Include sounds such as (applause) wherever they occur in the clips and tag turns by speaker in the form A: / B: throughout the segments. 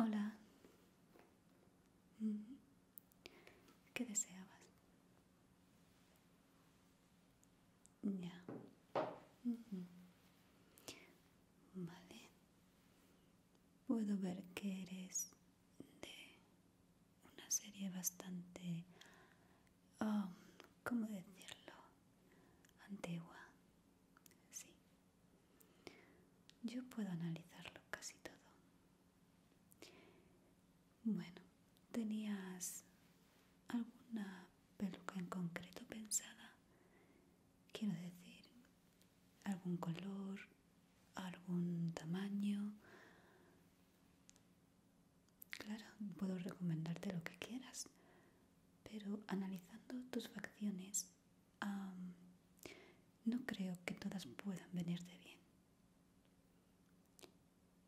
A: Hola. Mm. ¿Qué deseabas? Ya. Mm-hmm. Vale. Puedo ver que eres de una serie bastante Ah, ¿cómo decirlo? Antigua. Sí. Yo puedo analizarlo casi todo. Bueno, ¿tenías alguna peluca en concreto pensada? Quiero decir, algún color, algún tamaño. Claro, puedo recomendarte lo que quieras, pero analizando tus facciones, no creo que todas puedan venirte bien.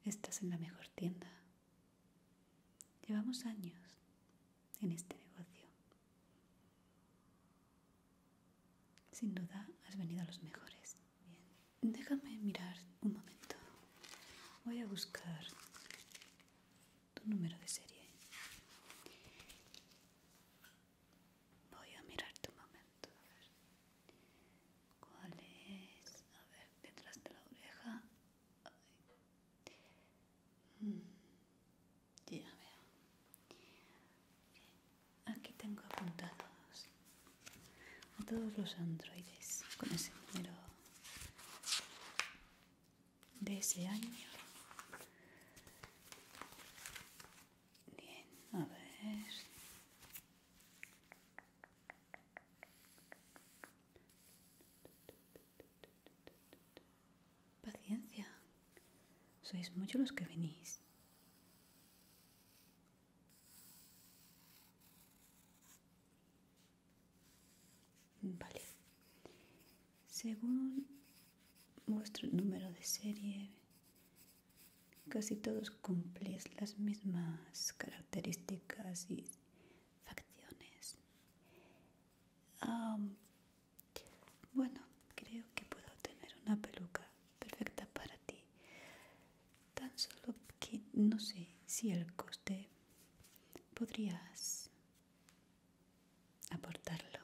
A: Estás en la mejor tienda. Llevamos años en este negocio. Sin duda has venido a los mejores. Bien, déjame mirar un momento. Voy a buscar tu número de serie. Voy a mirar un momento. A ver. ¿Cuál es? A ver, detrás de la oreja. Mm, ya veo. Aquí tengo apuntados a todos los androides con ese número de ese año. Bien, a ver. Paciencia, sois muchos los que venís. Vale. Según vuestro número de serie, casi todos cumplís las mismas características y facciones. bueno, creo que puedo tener una peluca perfecta para ti tan solo que no sé si el coste podrías aportarlo.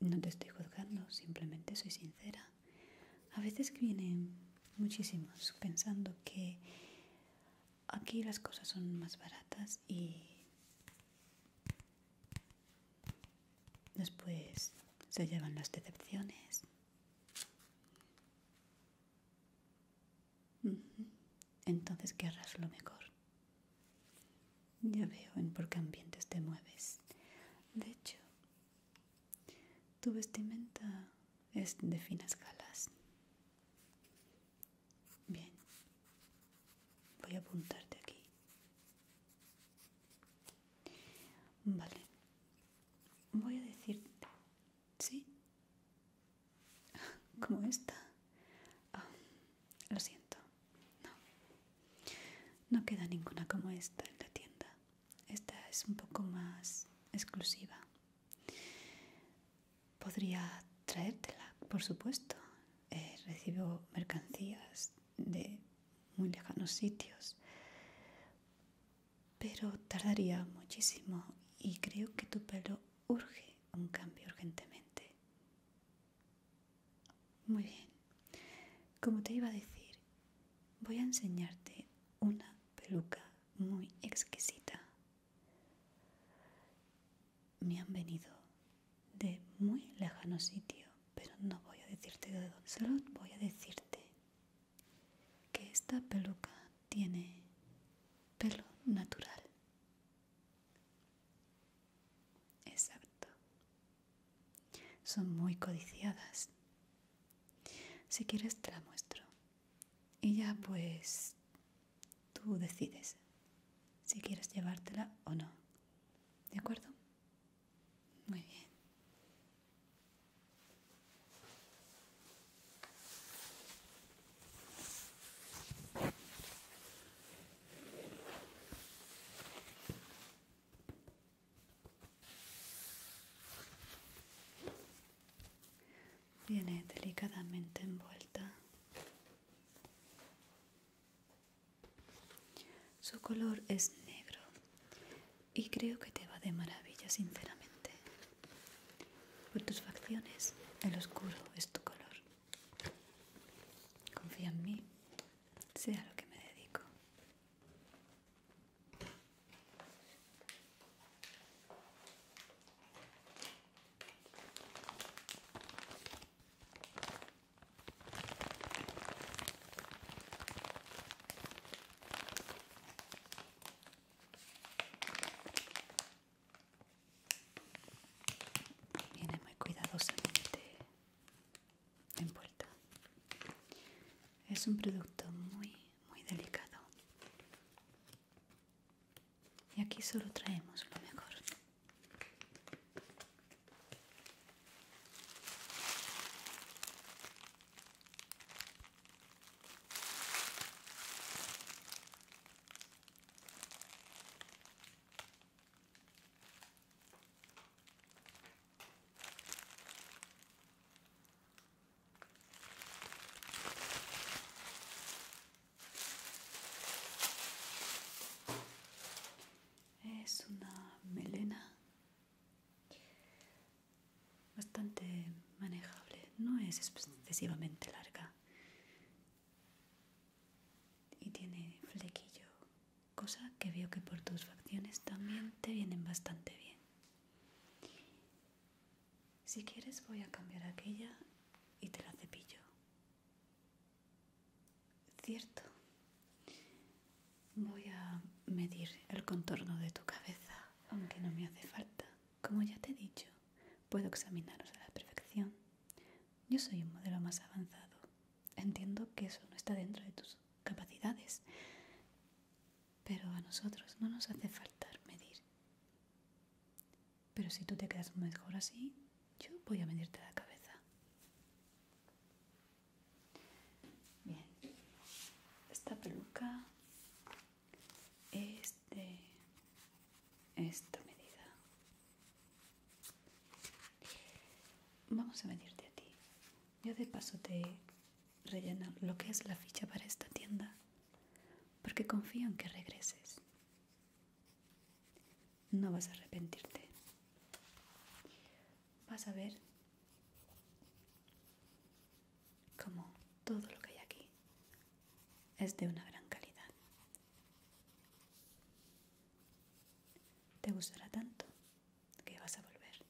A: No te estoy juzgando, simplemente soy sincera. A veces vienen muchísimos pensando que aquí las cosas son más baratas y después se llevan las decepciones. Entonces querrás lo mejor. Ya veo en por qué ambientes te mueves. De hecho, tu vestimenta es de finas galas. Bien, voy a apuntarte aquí. Vale, voy a decirte ¿Sí? (laughs) Como esta. Ah, lo siento. No. queda ninguna como esta en la tienda. Esta es un poco más exclusiva. Podría traértela, por supuesto. Eh, recibo mercancías de muy lejanos sitios pero tardaría muchísimo y creo que tu pelo urge un cambio urgentemente. Muy bien, como te iba a decir, voy a enseñarte una peluca muy exquisita. Me han venido de muy lejano sitio, pero no voy a decirte de dónde, solo voy a decirte que esta peluca tiene pelo natural. Exacto. Son muy codiciadas. Si quieres te la muestro. Y ya pues tú decides si quieres llevártela o no. ¿De acuerdo? Muy bien. Viene delicadamente envuelta. Su color es negro y creo que te va de maravilla, sinceramente. Por tus facciones, el oscuro es tu color. Confía en mí, sea lo que me dedico. Viene muy cuidadosamente puerta. Es un producto muy, muy delicado. Y aquí solo traemos lo mejor. Es una melena bastante manejable, no es excesivamente larga y tiene flequillo, cosa que veo que por tus facciones también te vienen bastante bien. Si quieres voy a cambiar aquella y te la cepillo. Cierto. Voy a medir el contorno de tu cabeza, aunque no me hace falta. Como ya te he dicho, puedo examinaros a la perfección. Yo soy un modelo más avanzado. Entiendo que eso no está dentro de tus capacidades, pero a nosotros no nos hace falta medir. Pero si tú te quedas mejor así, yo voy a medirte la cabeza. Bien, esta peluca es de esta medida. Vamos a venirte a ti. Yo de paso te relleno lo que es la ficha para esta tienda, porque confío en que regreses. No vas a arrepentirte vas a ver como todo lo que hay aquí es de una gran calidad. Te gustará tanto que vas a volver.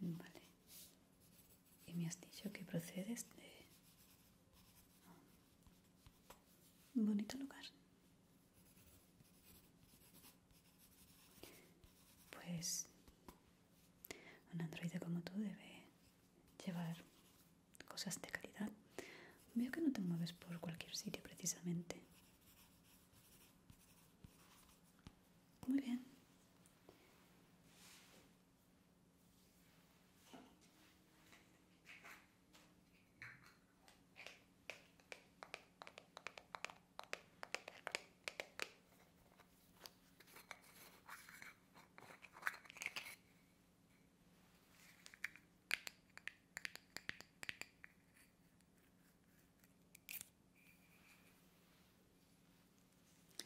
A: Vale. Y me has dicho que procedes de... Ah, un bonito lugar. Pues un androide como tú debe llevar cosas de calidad. Veo que no te mueves por cualquier sitio precisamente. Muy bien.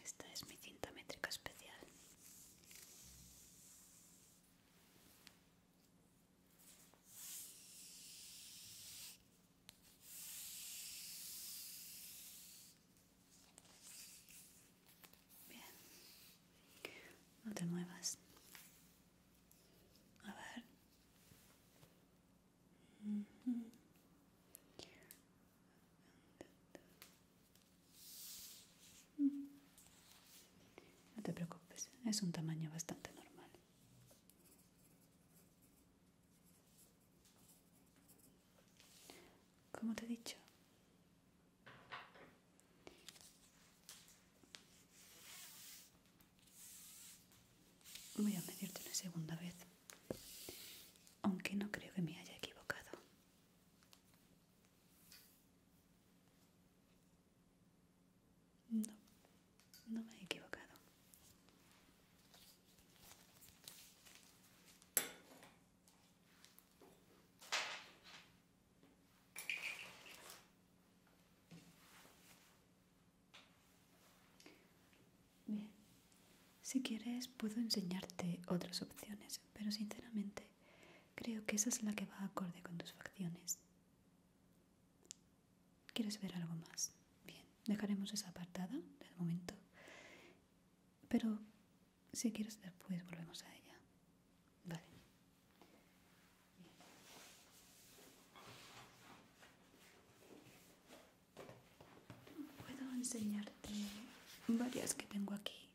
A: Esta es mi cinta métrica especial. Bien, no te muevas. A ver. No te preocupes, es un tamaño bastante normal. ¿Cómo te he dicho, voy a medirte una segunda vez, aunque no creo que me haya equivocado. No, no me he equivocado. Bien, si quieres puedo enseñarte otras opciones, pero sinceramente creo que esa es la que va acorde con tus facciones. ¿Quieres ver algo más? Bien, dejaremos esa apartada de momento. Pero si quieres después volvemos a ella. Vale. Puedo enseñarte varias que tengo aquí.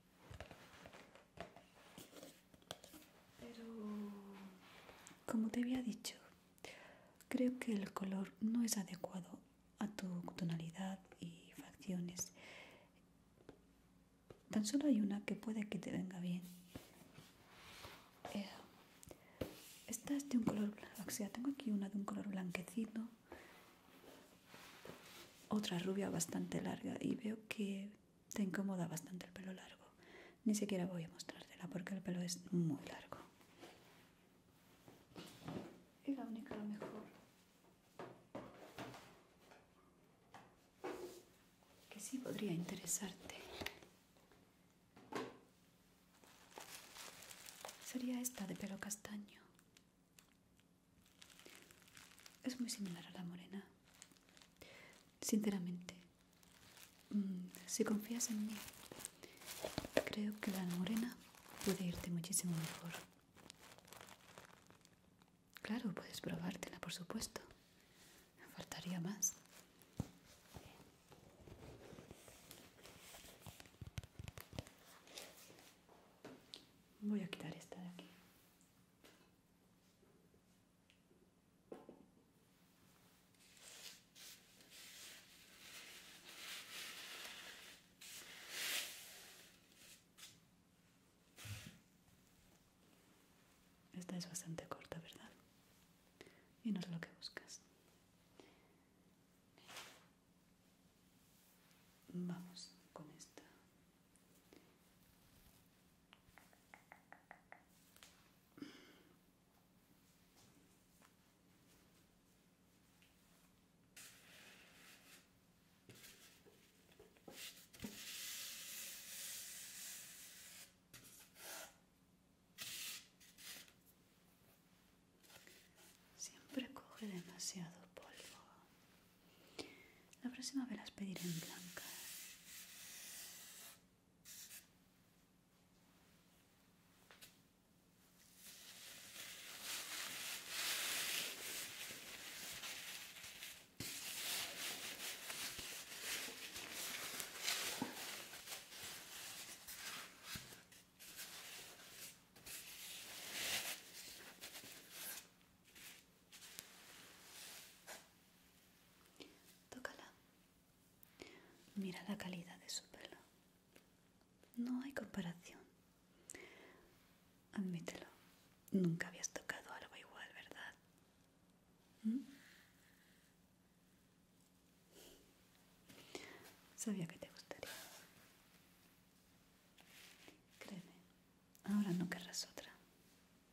A: Pero, como te había dicho, Creo que el color no es adecuado a tu tonalidad y facciones. Tan solo hay una que puede que te venga bien. Eh, esta es de un color, o sea, tengo aquí una de un color blanquecino, otra rubia bastante larga y veo que te incomoda bastante el pelo largo ni siquiera voy a mostrártela porque el pelo es muy largo. Y la única a lo mejor que sí podría interesarte sería esta de pelo castaño. Es muy similar a la morena. Sinceramente, Mm, si confías en mí, creo que la morena puede irte muchísimo mejor. Claro, puedes probártela, por supuesto. Faltaría más. Voy a quitar esta de aquí. Esta es bastante corta, ¿verdad? Y no es lo que buscas. Vamos con esta. Siempre coge demasiado polvo. La próxima vez las pediré en blanca. Tócala Mira la calidad de su pelo. No hay comparación. Admítelo. Nunca habías tocado algo igual, ¿verdad? ¿Mm? Sabía que te gustaría. Créeme, ahora no querrás otra.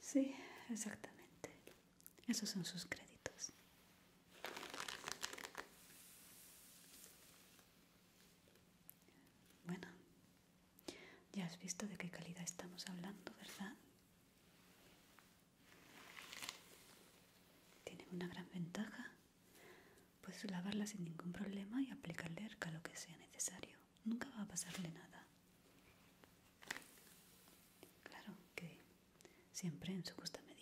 A: Sí, exactamente. Esos son sus créditos. Bueno, ya has visto de qué calidad estamos hablando, ¿verdad? Tiene una gran ventaja Puedes lavarla sin ningún problema y aplicarle arca lo que sea necesario. Nunca va a pasarle nada. Claro que siempre en su justa medida.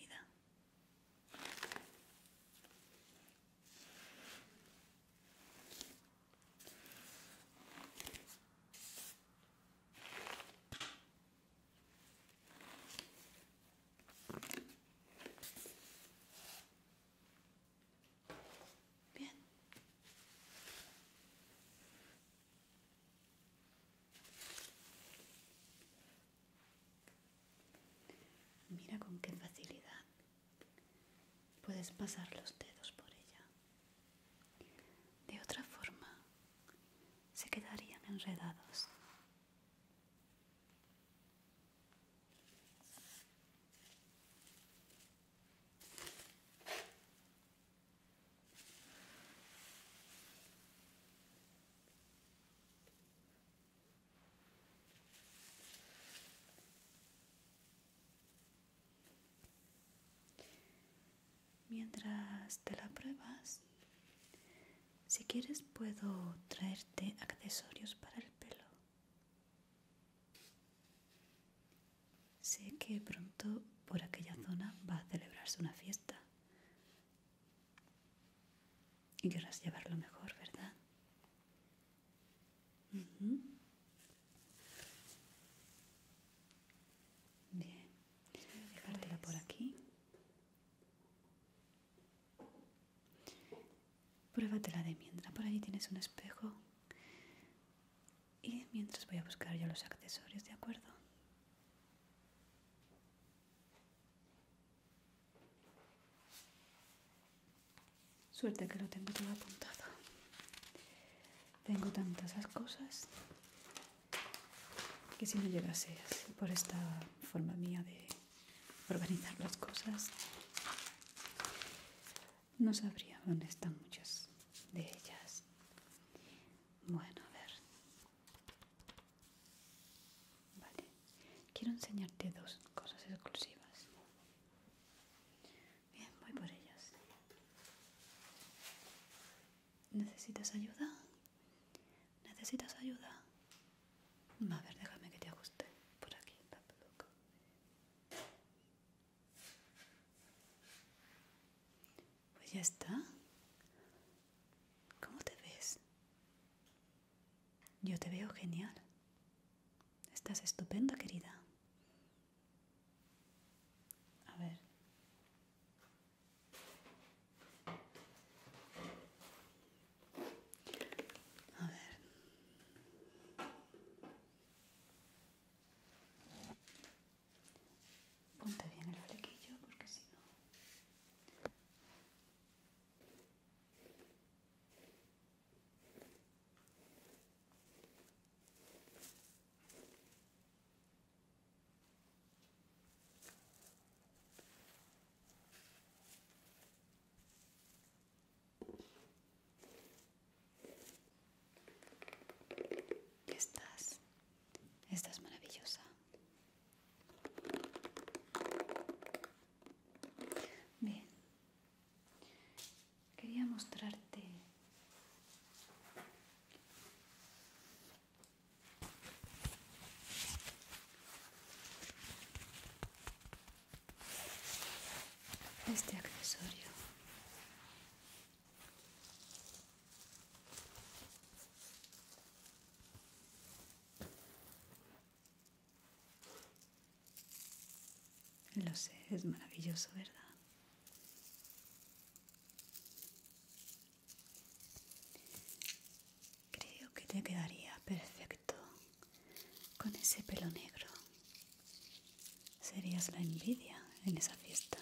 A: Bien. Mira con qué facilidad puedes pasar los dedos por ella. De otra forma, se quedarían enredados. Mientras te la pruebas, si quieres puedo traerte accesorios para el pelo. Sé que pronto por aquella zona va a celebrarse una fiesta. Y querrás llevarlo mejor, ¿verdad? Bien, dejártela por aquí. Pruébatela de mientras. Por allí tienes un espejo. Y mientras voy a buscar yo los accesorios, ¿de acuerdo? Suerte que lo tengo todo apuntado. Tengo tantas cosas que si no llegase por esta forma mía de organizar las cosas, no sabría dónde están muchas de ellas. Bueno, a ver. Vale. Quiero enseñarte dos cosas exclusivas. Bien, voy por ellas. ¿Necesitas ayuda? ¿Necesitas ayuda? A ver, déjame que te ajuste por aquí Pues ya está. ¿Cómo te ves? Yo te veo genial. Estás estupenda, querida. A ver. A ver. Ponte bien el flequillo porque si no... Estás, estás maravillosa. Bien, quería mostrarte este accesorio lo sé es maravilloso verdad Creo que te quedaría perfecto con ese pelo negro. Serías la envidia en esa fiesta.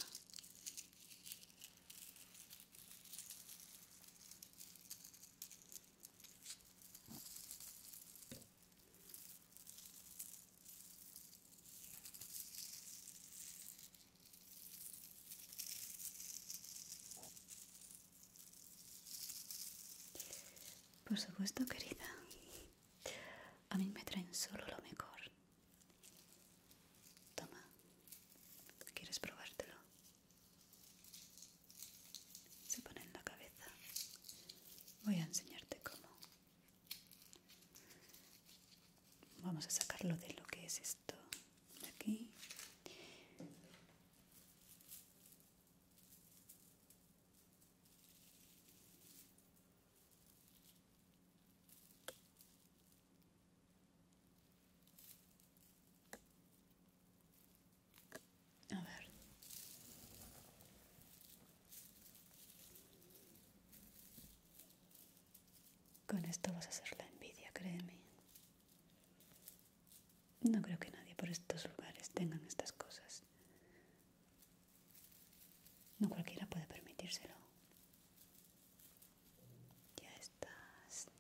A: Por supuesto, querida. A mí me traen solo lo mejor. Toma. ¿Quieres probártelo? Se pone en la cabeza. Voy a enseñarte cómo. Vamos a sacarlo de lo que es esto aquí a ver con esto vas a hacer la envidia, créeme no creo que nadie por estos lugares tengan estas cosas. No cualquiera puede permitírselo. Ya estás.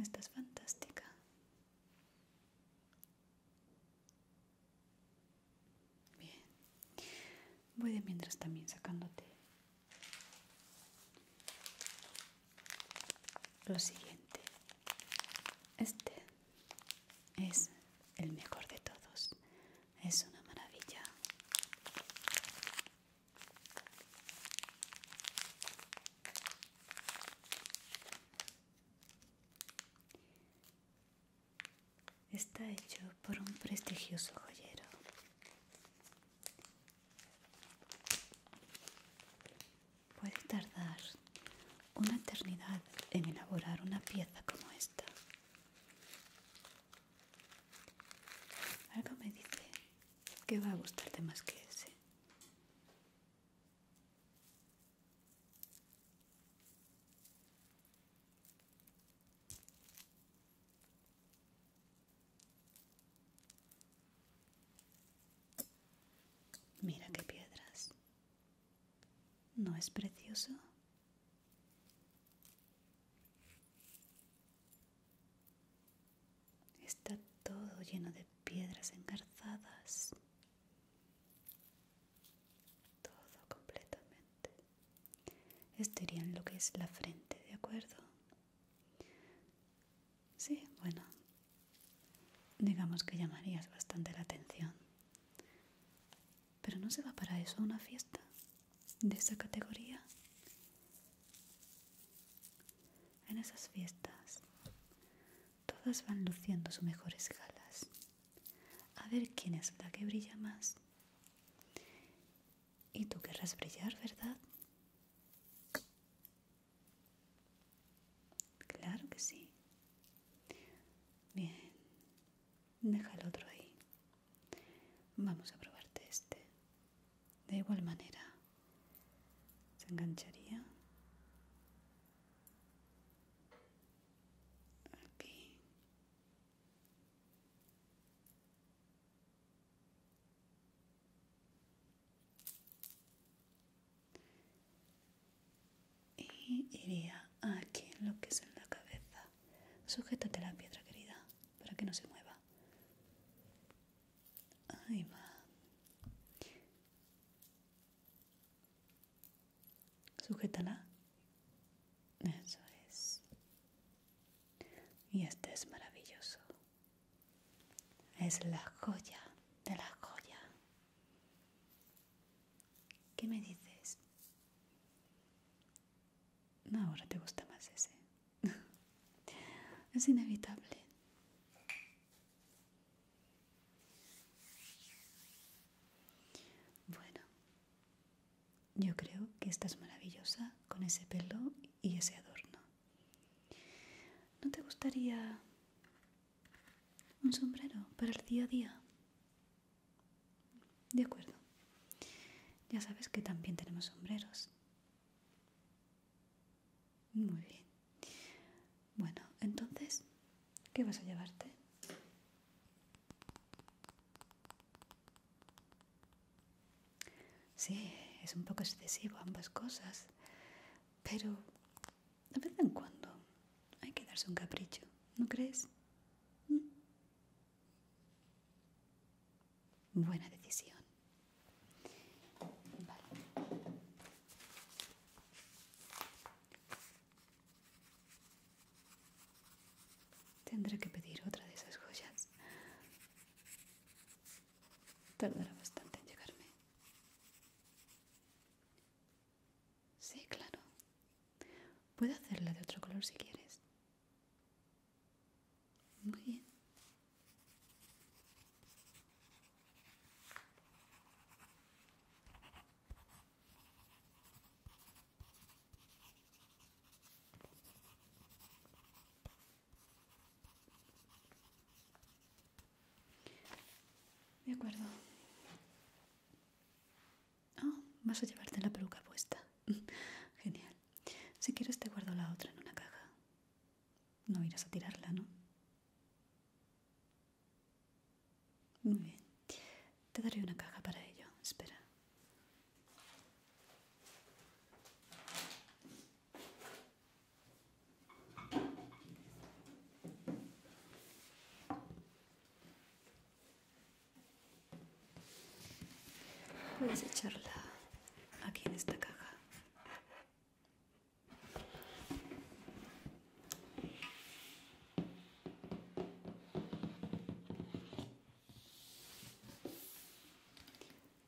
A: Estás fantástica. Bien. Voy de mientras también sacándote lo siguiente, este es el mejor de todos, es una maravilla. Está hecho por un prestigioso joyero Puede tardar una eternidad en elaborar una pieza como esta. Algo me dice que va a gustarte más que ese. Mira qué piedras. ¿No es precioso? Está todo lleno de piedras engarzadas. Todo completamente. Esto en lo que es la frente, ¿de acuerdo? Sí, bueno, digamos que llamarías bastante la atención. Pero no se va para eso una fiesta de esa categoría. En esas fiestas, todas van luciendo sus mejores galas. A ver quién es la que brilla más. Y tú querrás brillar, ¿verdad? Claro que sí. Bien. Deja el otro ahí. Vamos a probarte este. De igual manera. ¿Se engancharía? Aquí y iría aquí en lo que es en la cabeza sujétate la piedra querida para que no se mueva ahí va sujétala eso es y este es maravilloso. Es la joya de la joya. ¿Qué me dices? No, ahora te gusta más ese. (laughs) es inevitable. Bueno, yo creo que esta es maravillosa con ese pelo y ese adorno. ¿No te gustaría un sombrero para el día a día? De acuerdo. Ya sabes que también tenemos sombreros. Muy bien. Bueno, entonces, ¿qué vas a llevarte? Sí, es un poco excesivo ambas cosas, pero de vez en cuando hay que darse un capricho, ¿no crees? Mm. Buena decisión. Tendré que pedir otra de esas joyas. Tardará bastante en llegarme. Sí, claro. Puedo hacerla de otro color si quieres. Muy bien. De acuerdo. Oh, vas a llevarte la peluca puesta. (laughs) Genial. Si quieres te guardo la otra en una caja. No irás a tirarla, ¿no? Muy bien. Te daré una caja para ello. Espera. Voy a echarla aquí en esta caja.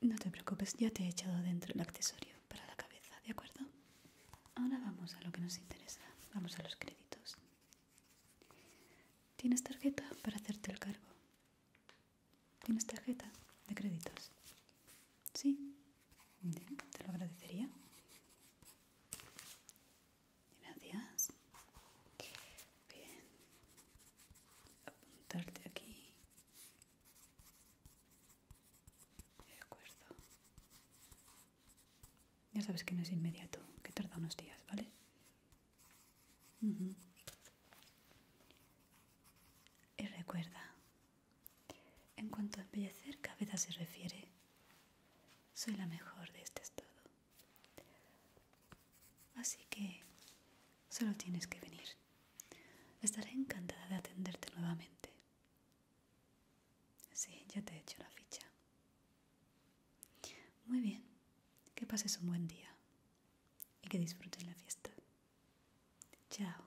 A: No te preocupes, ya te he echado dentro el accesorio para la cabeza, ¿de acuerdo? Ahora vamos a lo que nos interesa, vamos a los créditos. ¿Tienes tarjeta para hacerte el cargo? ¿Tienes tarjeta de créditos? Sí, Bien, te lo agradecería. Gracias. Bien, apuntarte aquí de acuerdo ya sabes que no es inmediato que tarda unos días vale y recuerda en cuanto a embellecer cabeza se refiere soy la mejor de este estado Así que solo tienes que venir. Estaré encantada de atenderte nuevamente. Sí, ya te he hecho la ficha. Muy bien, que pases un buen día y que disfrutes la fiesta. Chao.